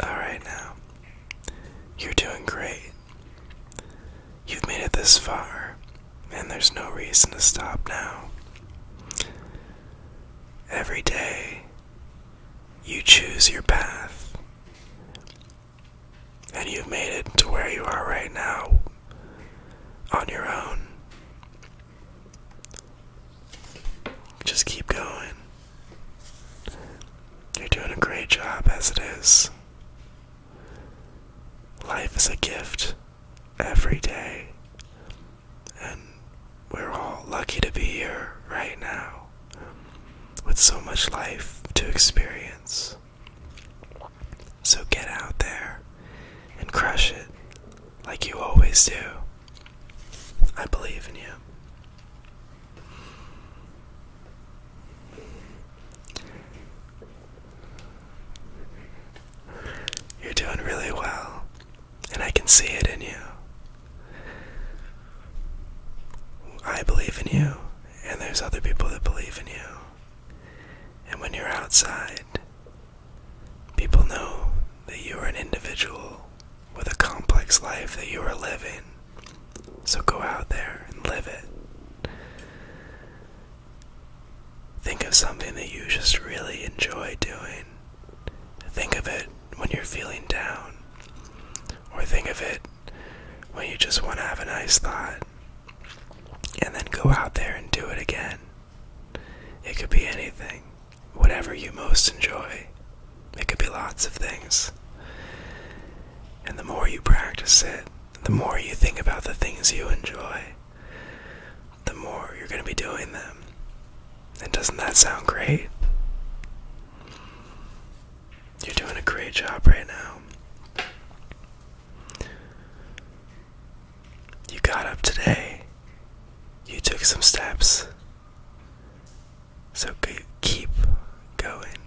All right now. You're doing great. You've made it this far, and there's no reason to stop now. Every day, you choose your path, and you've made it to where you are right now on your own. Just keep going. You're doing a great job as it is. Life is a gift every day, and we're all lucky to be here right now with so much life to experience. So get out there and crush it like you always do. I believe in you. You're doing really well, and I can see it in you. I believe in you, and there's other people that believe in you. And when you're outside, people know that you are an individual with a complex life that you are living. So go out there and live it. Think of something that you just really enjoy doing. Think of it when you're feeling down. Or think of it when you just want to have a nice thought. And then go out there and do it again. It could be anything whatever you most enjoy. It could be lots of things. And the more you practice it, the more you think about the things you enjoy, the more you're going to be doing them. And doesn't that sound great? You're doing a great job right now. You got up today. You took some steps. So keep going.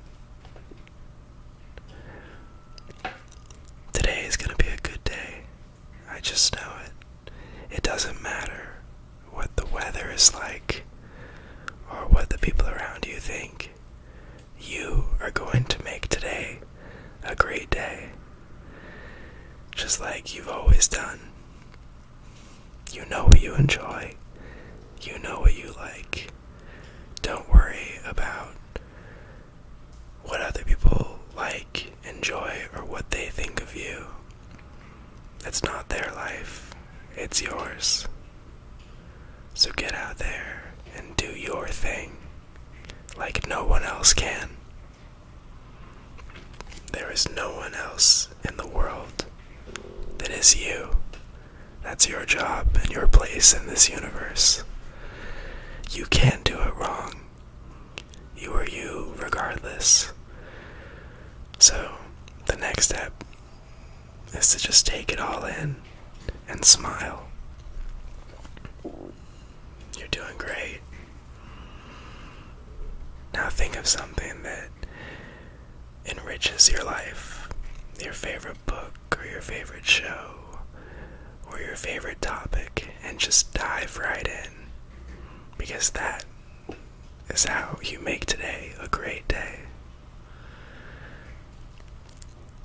Today is going to be a good day. I just know it. It doesn't matter what the weather is like or what the people around you think. You are going to make today a great day. Just like you've always done. You know what you enjoy. You know what you like. Don't worry about what other people like, enjoy, or what they think of you. It's not their life, it's yours. So get out there and do your thing like no one else can. There is no one else in the world that is you. That's your job and your place in this universe. You can't do it wrong. You are you regardless. So, the next step is to just take it all in and smile. You're doing great. Now, think of something that enriches your life. Your favorite book, or your favorite show, or your favorite topic, and just dive right in. Because that is how you make today a great day.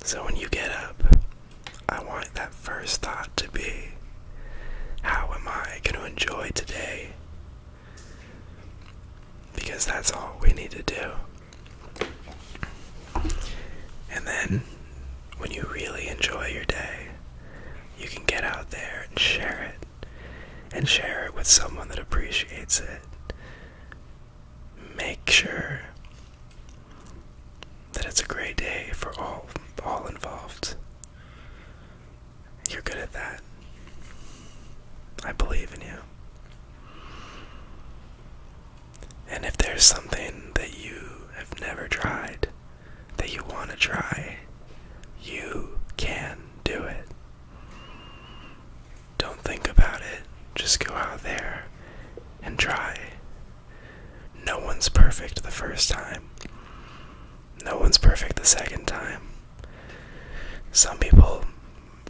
So when you get up, I want that first thought to be how am I going to enjoy today because that's all we need to do. And then, when you really enjoy your day, you can get out there and share it. And share it with someone that appreciates it. Make sure that it's a great day for all all involved. You're good at that. I believe in you. And if there's something that you have never tried, that you want to try, you can do it. Don't think about it, just go out there and try. No one's perfect the first time no one's perfect the second time. Some people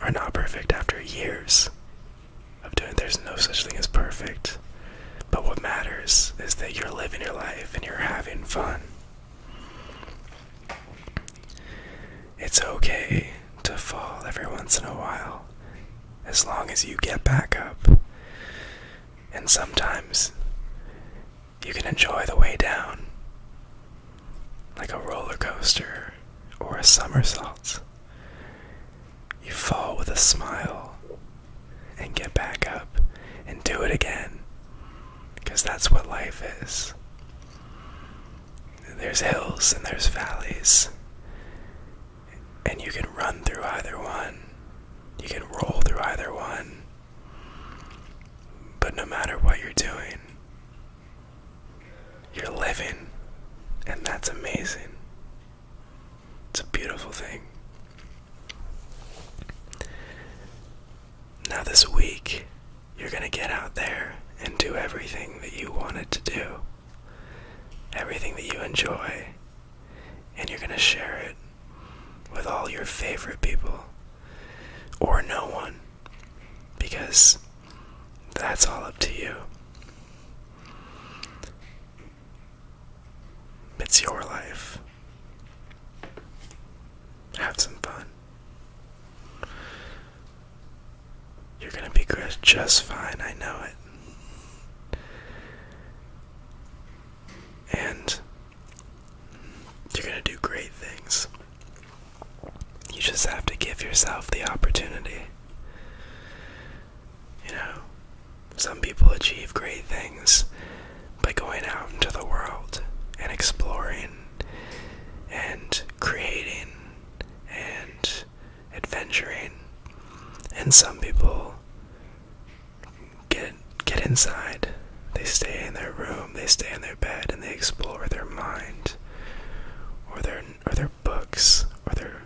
are not perfect after years of doing there's no such thing as perfect. But what matters is that you're living your life and you're having fun. It's okay to fall every once in a while as long as you get back up. And sometimes you can enjoy the way down, like a roller coaster or a somersault. You fall with a smile and get back up and do it again, because that's what life is. There's hills and there's valleys, and you can run through either one, you can roll through either one. But no matter what you're doing, you're living, and that's amazing. It's a beautiful thing. Now, this week, you're going to get out there and do everything that you wanted to do, everything that you enjoy, and you're going to share it with all your favorite people or no one, because that's all up to you. It's your life. Have some fun. You're going to be good just fine, I know it. And you're going to do great things. You just have to give yourself the opportunity. You know, some people achieve great things by going out into the world and exploring and creating and adventuring. And some people get get inside. They stay in their room, they stay in their bed, and they explore their mind, or their or their books, or their.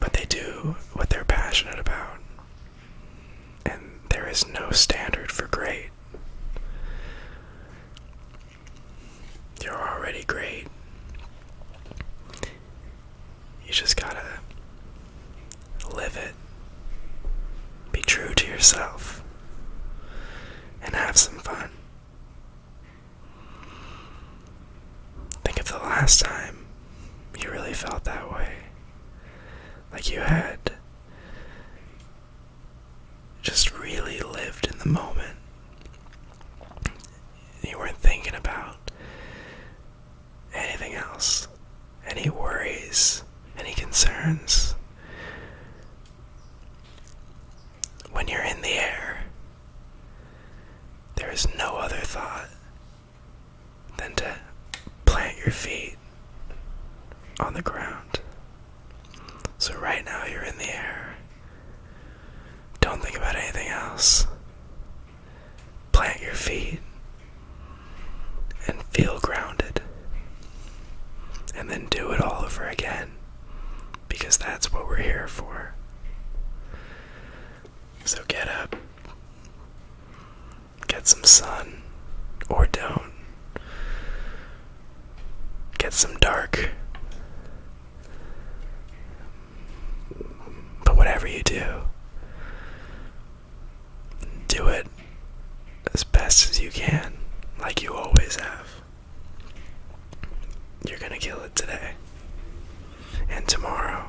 But they do what they're passionate about, and there is no standard for great. You're already great. You just gotta Live it. Be true to yourself. And have some fun. Think of the last time you really felt that way. Like you had just really lived in the moment. You weren't thinking about anything else, any worries, any concerns. When you're in the air, there is no other thought than to plant your feet on the ground. So, right now, you're in the air. Don't think about anything else plant your feet and feel grounded. And then do it all over again because that's what we're here for. So get up, get some sun, or don't, get some dark. But whatever you do, do it as best as you can, like you always have. You're gonna kill it today and tomorrow.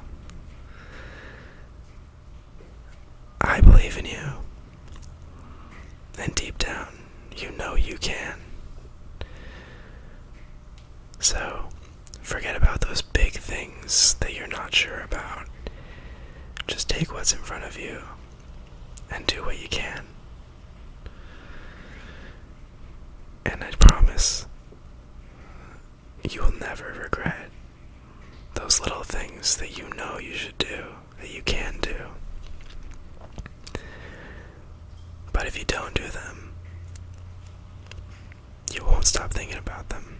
I believe in you. And deep down, you know you can. So, forget about those big things that you're not sure about just take what's in front of you and do what you can. And I promise you will never regret those little things that you know you should do, that you can do. But if you don't do them, you won't stop thinking about them.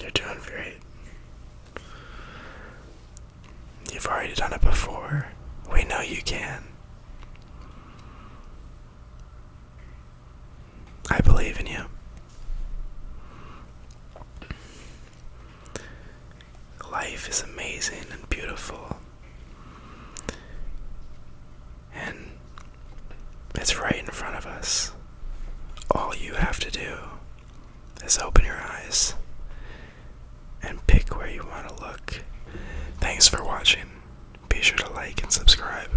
You're doing great. You've already done it before. We know you can. I believe in you. Life is amazing and beautiful. And it's right in front of us. All you have to do is open your eyes and pick where you want to look. Thanks for watching. Be sure to like and subscribe.